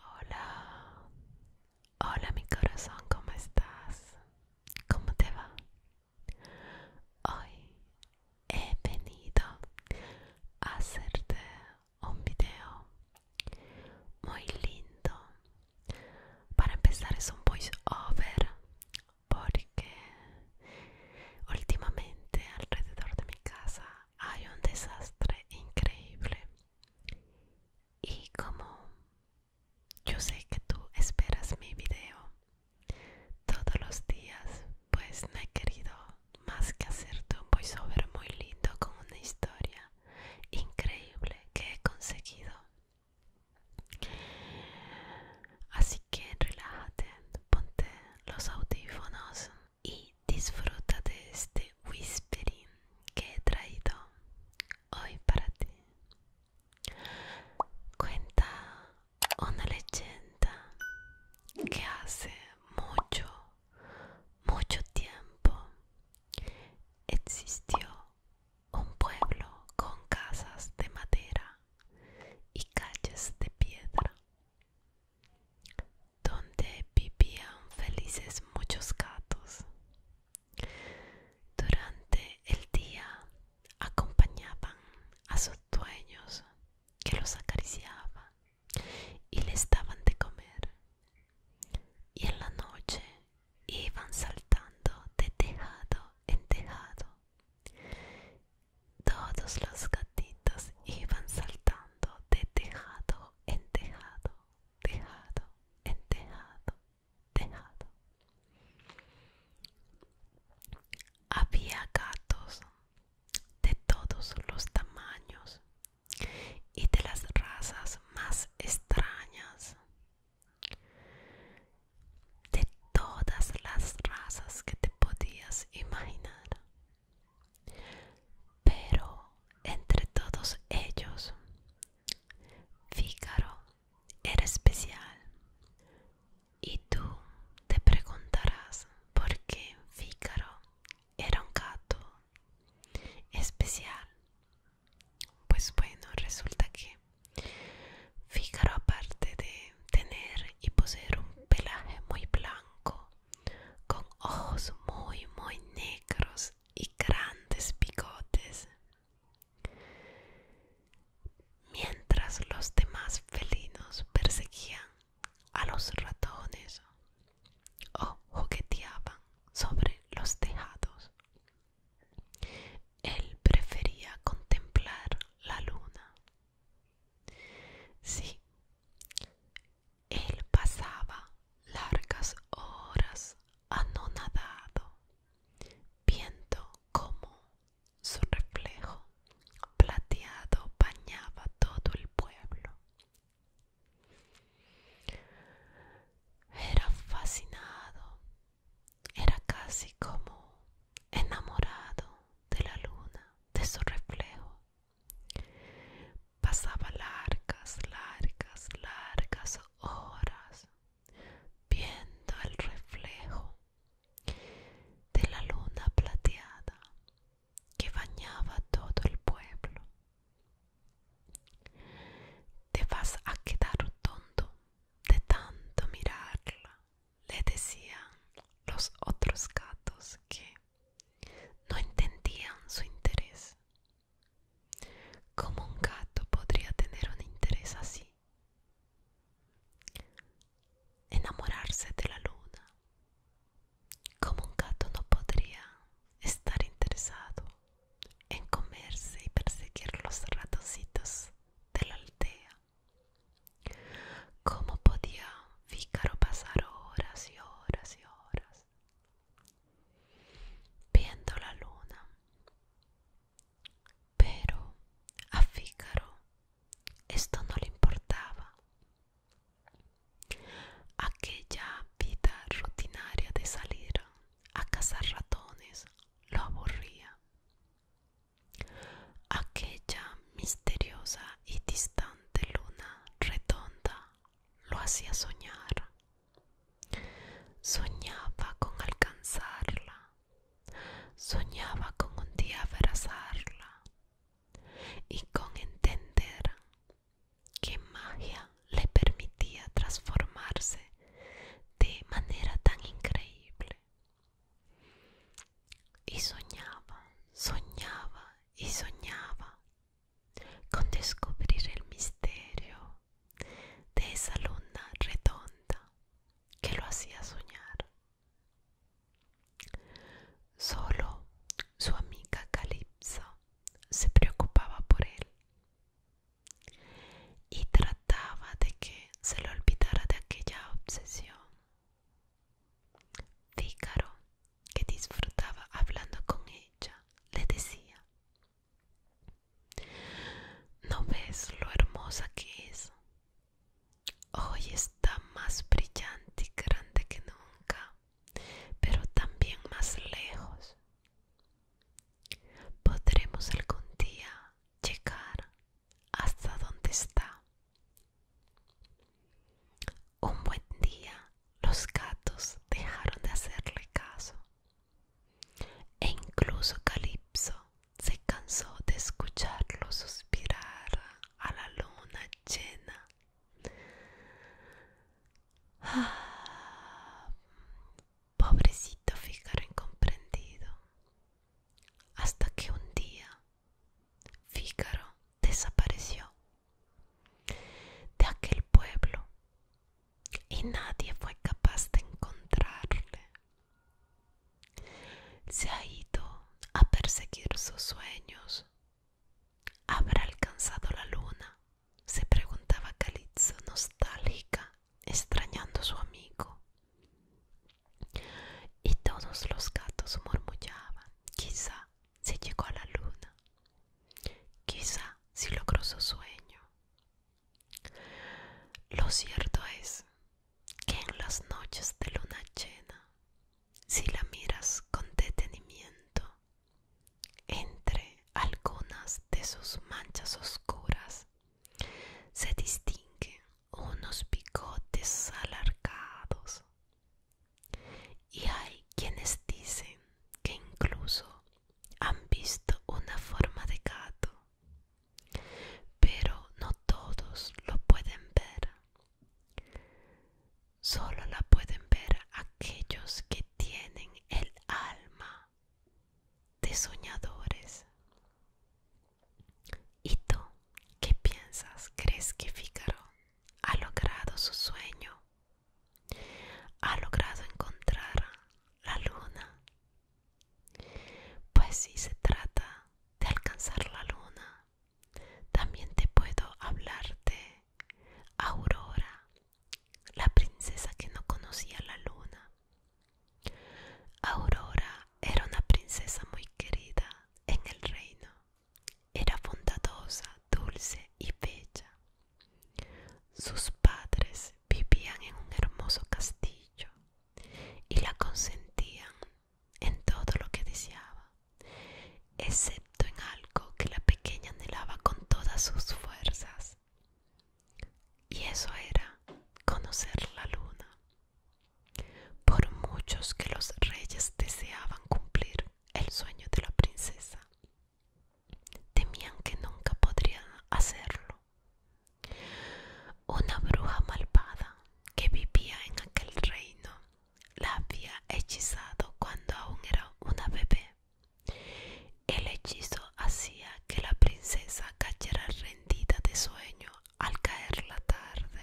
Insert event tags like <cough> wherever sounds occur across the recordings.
Hola, hola mi corazón, ¿cómo estás? ¿Cómo te va? Hoy he venido a hacerte un video muy lindo para empezar es un voiceover porque últimamente alrededor de mi casa hay un desastre increíble y como yo sé que tú esperas mi video todos los días pues no he querido más que hacerte un voiceover muy lindo con una historia increíble que he conseguido Así que relájate, ponte los audífonos y disfruta de este whispering que he traído hoy para ti. Cuenta una leyenda que hace mucho, mucho tiempo existió un pueblo con casas de madera y calles de piedra, donde vivían felices muchos gatos. Durante el día acompañaban a sus dueños que los acariciaban y les daban de comer. Y en la noche iban saltando de tejado en tejado. Todos los gatitos iban saltando de tejado en tejado, tejado en tejado, tejado. Había gatos de todos los tamaños y de las razas más extrañas de todas las razas que te podías imaginar. Pero entre todos ellos, Fígaro era especial. Y tú te preguntarás por qué Fígaro era un gato especial. Pues bueno, resulta que fíjaro aparte de tener y poseer un pelaje muy blanco, con ojos muy, muy negros y grandes bigotes, mientras los demás felinos perseguían a los ratones o jugueteaban sobre los tejados él prefería contemplar la luna. Sí, él pasaba largas horas anonadado, viendo como su reflejo plateado bañaba todo el pueblo. Era fascinado era casi como enamorado de la luna, de su reflejo. Pasaba largas, largas, largas horas viendo el reflejo de la luna plateada que bañaba todo el pueblo. Te vas a quedar tonto, de tanto mirarla, le decían los otros gatos que no entendían su interés. ¿Cómo un gato podría tener un interés así? Enamorarse de la luna. ¿Cómo un gato no podría estar interesado en comerse y perseguir los ratocitos de la aldea? ¿Cómo podía Fícaro pasar horas y horas y horas viendo la luna? Pero a Fícaro esto no le importaba. Aquella vida rutinaria de salir a cazar ratones lo aburría. Aquella misteriosa y distante luna redonda lo hacía soñar. Soñaba con alcanzarla, soñaba con un día abrazarla y con entender qué magia le permitía transformarse de manera tan increíble e soñaba, soñaba e sognava con descubrir el misterio de esa luna redonda que lo hacía soñar. Solo su amiga Calypso se preocupaba por él y trataba de que se lo olvidara de aquella obsesión. Pícaro, que disfrutaba hablando con ella, le decía, ¿no ves lo hermosa que es? Hoy está más brillante y grande que nunca, pero también más lejos. Podremos algún día llegar hasta donde está. Un buen día los gatos dejaron de hacerle caso e incluso Calipso se cansó de escucharlo suspirar a la luna llena. Ah, pobrecito Fígaro incomprendido, hasta que un día Fígaro desapareció de aquel pueblo y nadie fue capaz de encontrarle. Se ha ido a perseguir sus sueños. ¿Habrá alcanzado la luna? se preguntaba Calizo nostálgica extrañando su amigo. Y todos los gatos murmullaban, quizá se llegó a la luna, quizá si logró su sueño. Lo cierto es que en las noches de luna llena, si la miras con detenimiento, entre algunas de sus manchas oscuras se distingue unos bigotes alargados. Y hay quienes dicen que incluso han visto una forma de gato, pero no todos lo pueden ver. Solo la pueden ver aquellos que tienen el alma de soñadores. ¿Y tú qué piensas? ¿Crees que Fígaro ha logrado su sueño? ¿Ha logrado encontrar la luna? Pues si se trata de alcanzar la luna, también te puedo hablar de Aurora, la princesa que no conocía la luna Aurora era una princesa muy querida en el reino. Era bondadosa, dulce y bella. Sus padres vivían en un hermoso castillo y la consentían en todo lo que deseaba, excepto en algo que la pequeña anhelaba con todas sus fuerzas. Y eso era conocer la luna por muchos que los reyes deseaban cumplir el sueño de la princesa, temían que nunca podrían hacerlo. Una bruja malvada que vivía en aquel reino la había hechizado cuando aún era una bebé. El hechizo hacía que la princesa cayera rendida de sueño al caer la tarde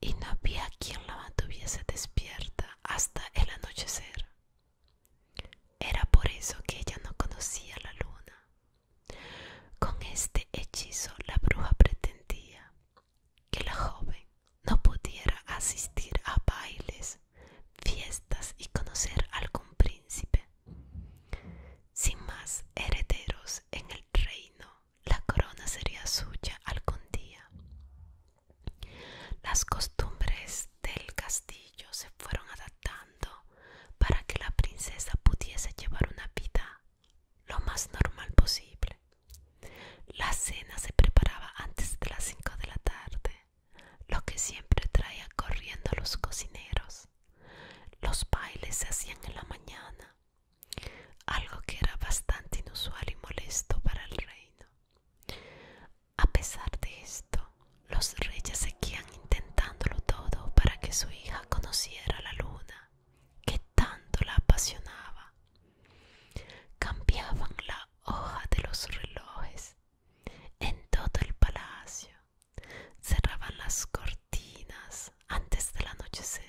y no había quien la mantuviese despierta hasta el anochecer. Era por eso que ella no conocía la luna. Con este hechizo la bruja pretendía que la joven no pudiera asistir a bailes, fiestas y conocer algún príncipe. Sin más herederos en el reino, la corona sería suya algún día. Las costumbres del castillo se fueron adaptando para que la princesa pudiese llevar una vida lo más normal posible. La cena se preparaba antes de las 5 de la tarde, lo que siempre traía corriendo a los cocineros. Los bailes se hacían en la mañana algo que era bastante inusual y molesto para el reino. A pesar de esto, los reyes seguían intentándolo todo para que su hija conociera la luna, que tanto la apasionaba. Cambiaban la hoja de los relojes en todo el palacio, cerraban las cortinas, antes del anochecer.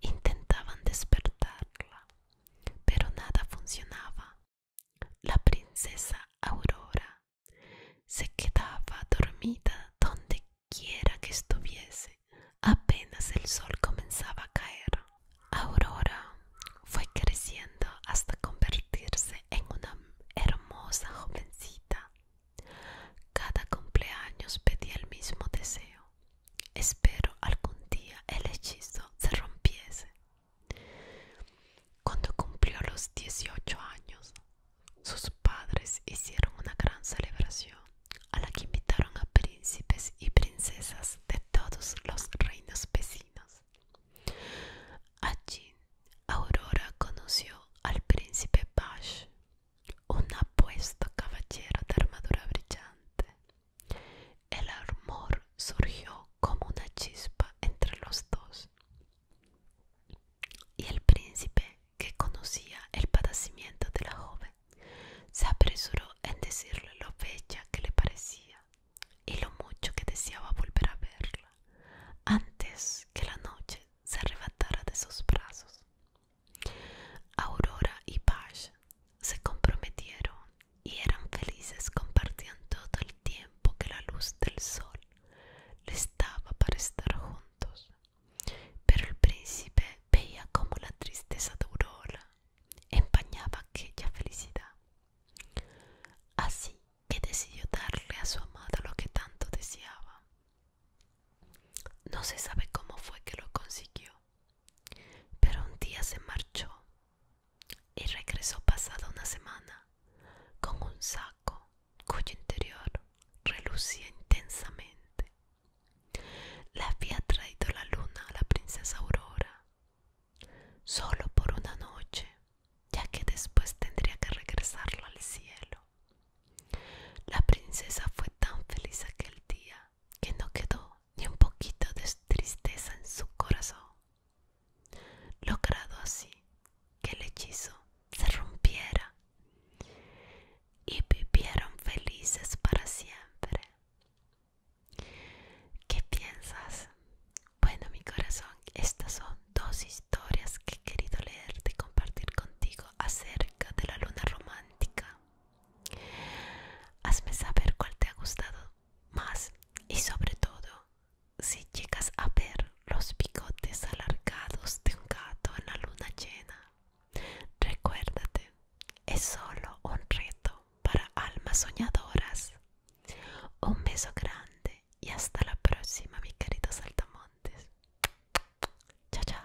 Intentaban despertarla, pero nada funcionaba. La princesa Aurora se quedaba dormida donde quiera que estuviese. Apenas el sol comenzaba a caer. Aurora fue creciendo hasta convertirse en una hermosa jovencita cada cumpleaños pedía el mismo deseo. Espero algún día el hechizo se rompiese. Cuando cumplió los 18 años, sus padres hicieron una gran celebración a la que invitaron a príncipes y princesas de todos los reinos vecinos. Allí, Aurora conoció al príncipe Bash, un apuesto caballero de armadura brillante. El amor surgió como una chispa entre los dos. Y el príncipe, que conocía el padecimiento de la joven, se apresuró en decirle lo bella que le parecía y lo mucho que deseaba volver a verla, antes que la noche se arrebatara de sus brazos. Aurora y Paz se comprometieron y eran felices compartían todo el tiempo que la luz del sol les daba para estar juntos. Pero el príncipe veía como la tristeza de Aurora empañaba aquella felicidad. Así que decidió darle a su amada lo que tanto deseaba. No se sabe cómo fue que lo consiguió, pero un día se marchó y regresó pasada una semana con un saco cuyo interior relucía intensamente. Le había traído la luna a la princesa Aurora solo por una noche, ya que después tendría que regresarlo al cielo. La princesa fue tan feliz aquel día que no quedó ni un poquito de tristeza en su corazón, logrado así que el hechizo se rompiera y vivieron felices para siempre. ¿Qué piensas? Bueno, mi corazón, estas son dos historias que he querido leer y compartir contigo acerca de la luna romántica Hazme saber cuál te ha gustado más y sobre todo si llegas a ver los bigotes alargados de un gato en la luna llena. Recuérdate, es solo un reto para almas soñadoras. Un beso grande y hasta la próxima, mi querido Saltamontes. Chao, chao.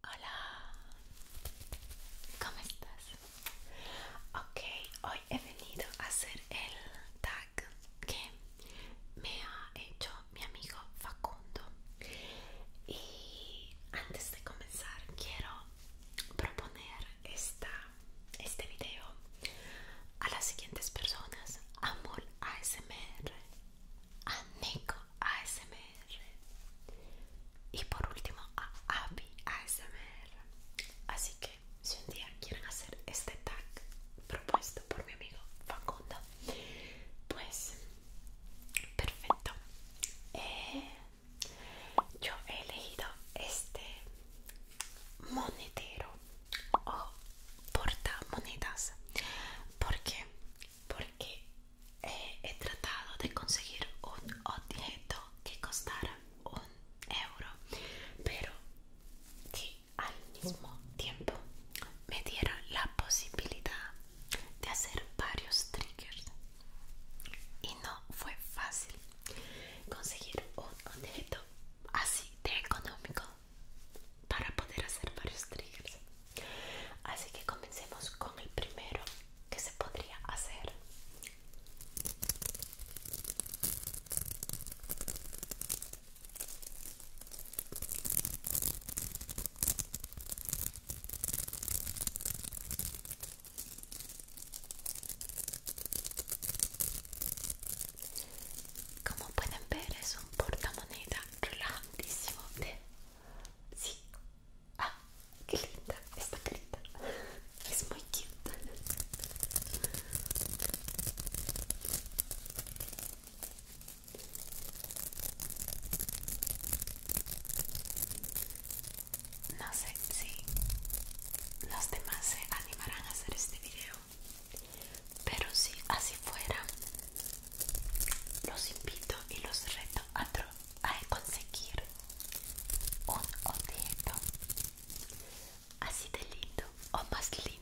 Hola, ¿cómo estás? Ok, hoy he venido a hacer el tag que me ha hecho mi amigo Facundo y antes de comenzar quiero proponer esta, este video a las siguientes personas a Mol ASMR a Nico ASMR y por último a Abby ASMR así que si un día quieren hacer este tag propuesto por mi amigo Facundo pues, perfecto. Eh, yo he elegido este monetero o porta monedas. ¿Por Porque eh, he tratado de conseguir un objeto que costara un euro, pero al mismo tiempo me dieron la posibilidad de hacer varios triggers y no fue fácil conseguir un objeto así de económico para poder hacer varios triggers así que comencemos con el primero que se podría hacer como pueden ver es un portamoneda grandísimo, de... Sí. Ah, qué linda esta linda, Es muy cute. No sé si los demás se animarán a hacer este video, pero si así fuera, los invito y los reto a, conseguir un objeto así de lindo o más lindo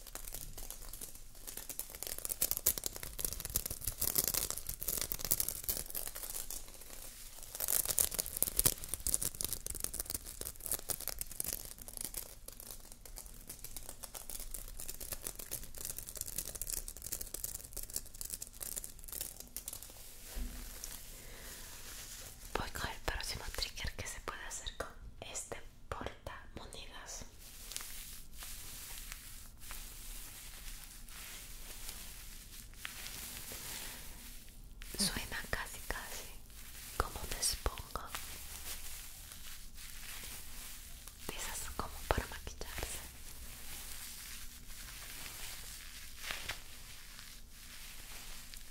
Voy con el próximo trigger que se puede hacer con este porta monedas Suena casi casi como un esponja. esas como para maquillarse.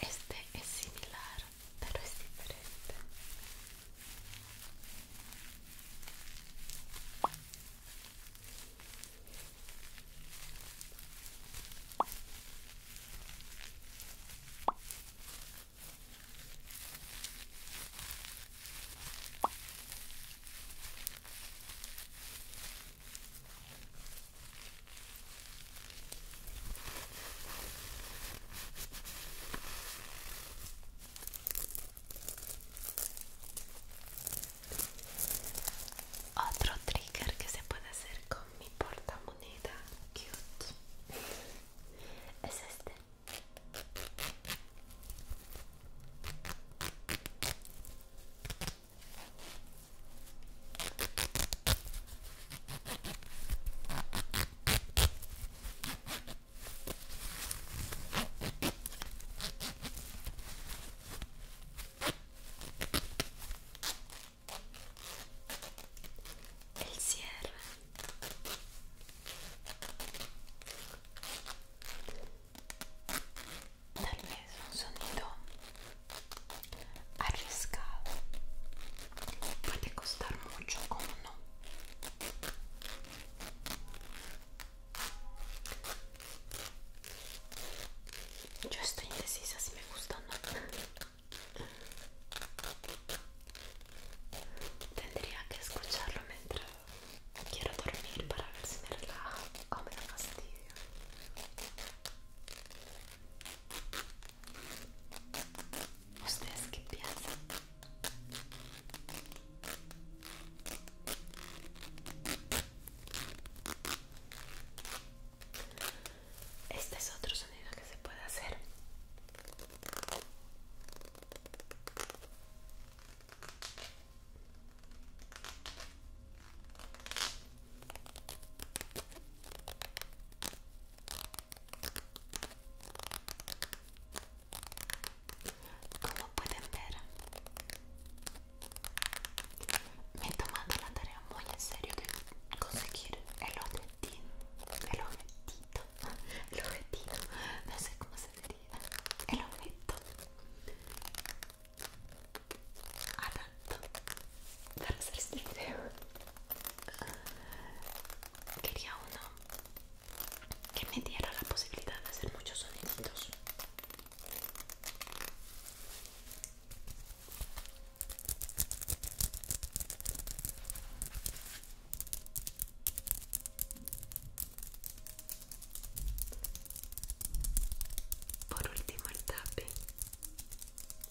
Este es similar, pero es diferente. Otro trigger que se puede hacer con mi portamoneda cute es este el cierre tal vez un sonido arriesgado puede costar mucho o no yo estoy indecisa si me gusta o no tendría que escucharlo mientras quiero dormir para ver si me relaja o me da fastidio ¿Ustedes qué piensan? Este es otro sonido que se puede hacer. Como pueden ver, me he tomado la tarea muy en serio de conseguir el objetivo, el objetito, el objetivo, no sé cómo se diría, el objeto Hablando para hacer este video quería uno que me diera la posibilidad de hacer muchos sonidos. por último el tape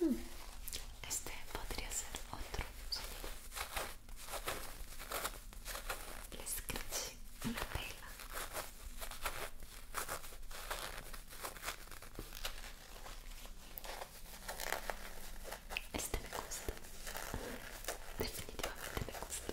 Hmm. Este podría ser otro sonido. le scratch alla pelle Este me gusta Definitivamente me gusta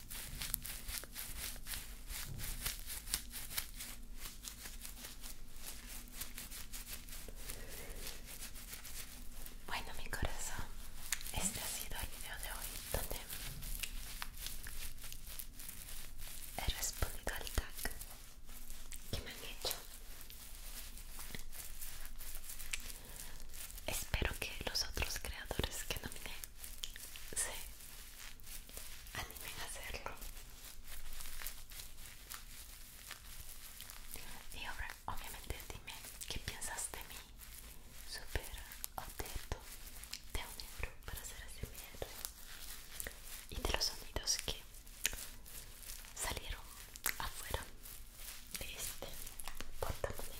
Bueno, mi corazón, este ha sido el video de hoy donde he respondido al tag que me han hecho. Espero que los otros creadores que nomine se Animen a hacerlo. Y ahora, obviamente, dime qué piensas de mí. Super objeto de un libro para hacer ese video. Y de los sonidos que salieron afuera de este portamonedas.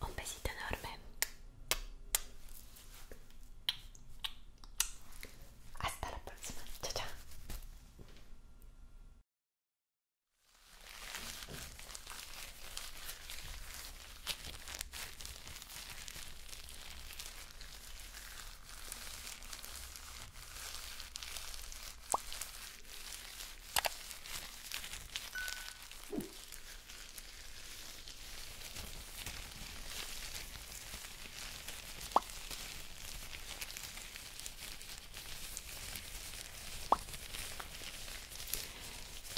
Un besito enorme. Hasta la próxima. Chao, chao.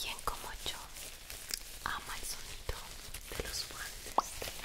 ¿Quién como yo ama el sonido de los guantes de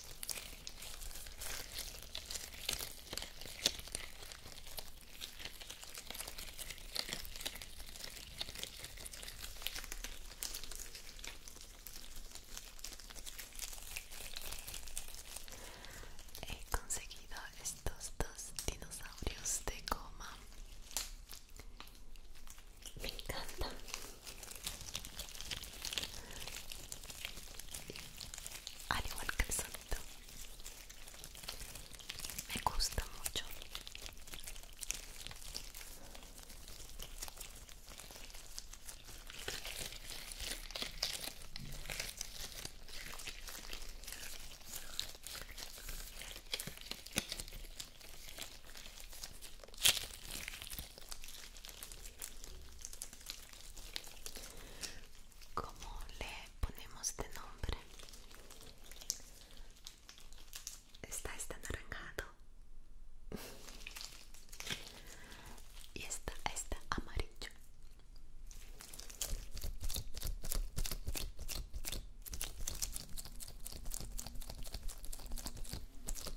He conseguido estos dos dinosaurios de goma. Me encantan al igual que el sonido me gusta mucho ¿Cómo le ponemos de nombre? Está este naranjado y está este amarillo.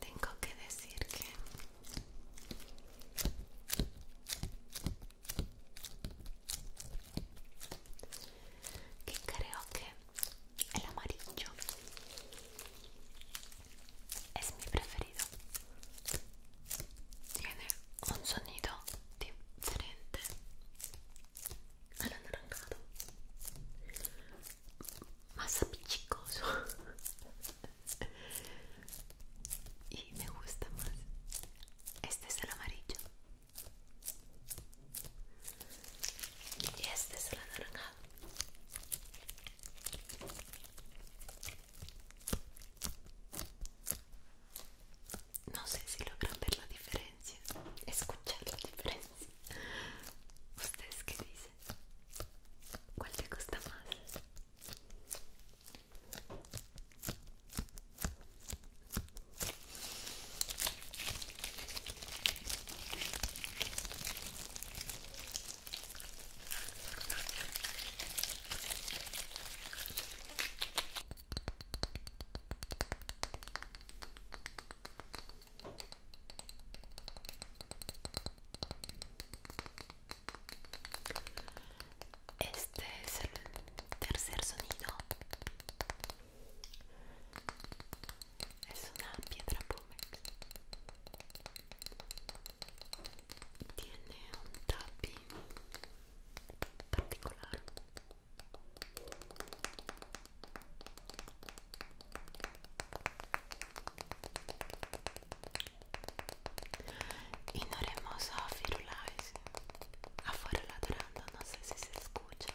Tengo que decir que que creo que el amarillo es mi preferido tiene un sonido diferente al anaranjado más apichicoso <laughs> y me gusta más este es el amarillo y este es el anaranjado. No sé si logran ver la diferencia, escuchar la diferencia. ¿Ustedes qué dicen? ¿Cuál te gusta más? Este es el tercer sonido è su una pietra pomex tiene un tapping particolare in oremoso a firulais a fuera ladrando no sé si se escucha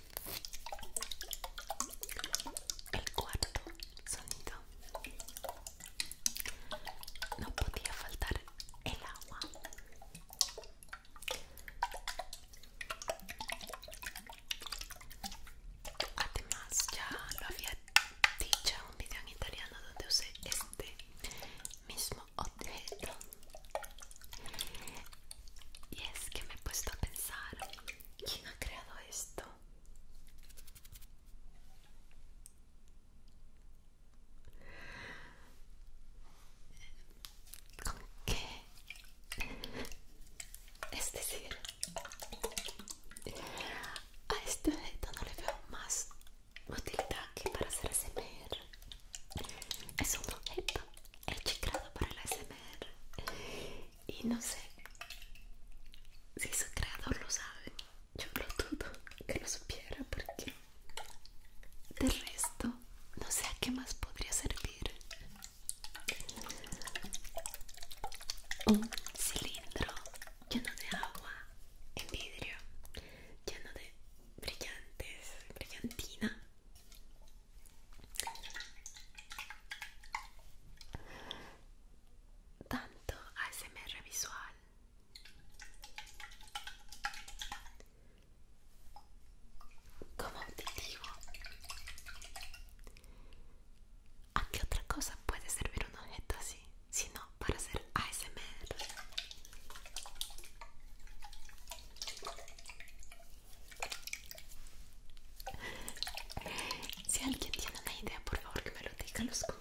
El cuarto sonido. No podía faltar el agua. Además, ya lo había dicho en un video en italiano donde usé este mismo objeto. Y es que me he puesto a pensar ¿Quién ha creado esto? ¿Con qué? Es decir, a este objeto no le veo más utilidad que para hacer SMR. Es un objeto hecho para el SMR y no sé si su creador lo sabe yo lo dudo que lo supiera porque del resto no sé a qué más podría servir un cilindro lleno de agua en vidrio lleno de brillantes brillantina tanto ASMR visual. Como auditivo. ¿A qué otra cosa puede servir un objeto así? Sino para hacer ASMR. Si alguien tiene una idea, por favor que me lo diga en los comentarios.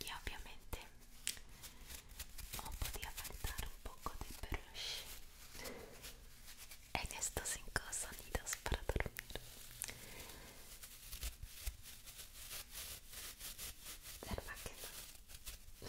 y obviamente no podía faltar un poco de brush en estos cinco sonidos para dormir ¿Será que no?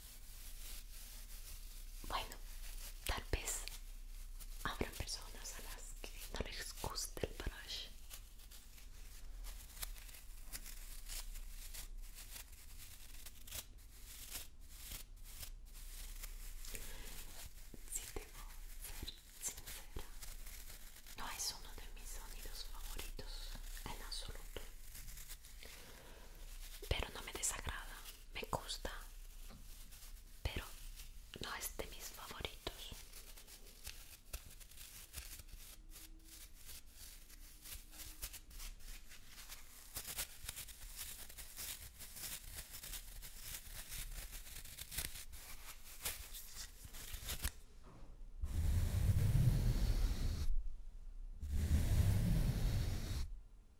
Bueno, tal vez habrá personas a las que no les guste el brush. Si que ser sincera, no es uno de mis sonidos favoritos en absoluto pero no me desagrada, me gusta, pero no es de mis favoritos.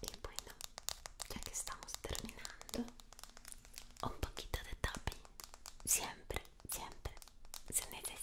Y bueno, ya que estamos terminando, un poquito de tapping. Siempre, siempre se necesita.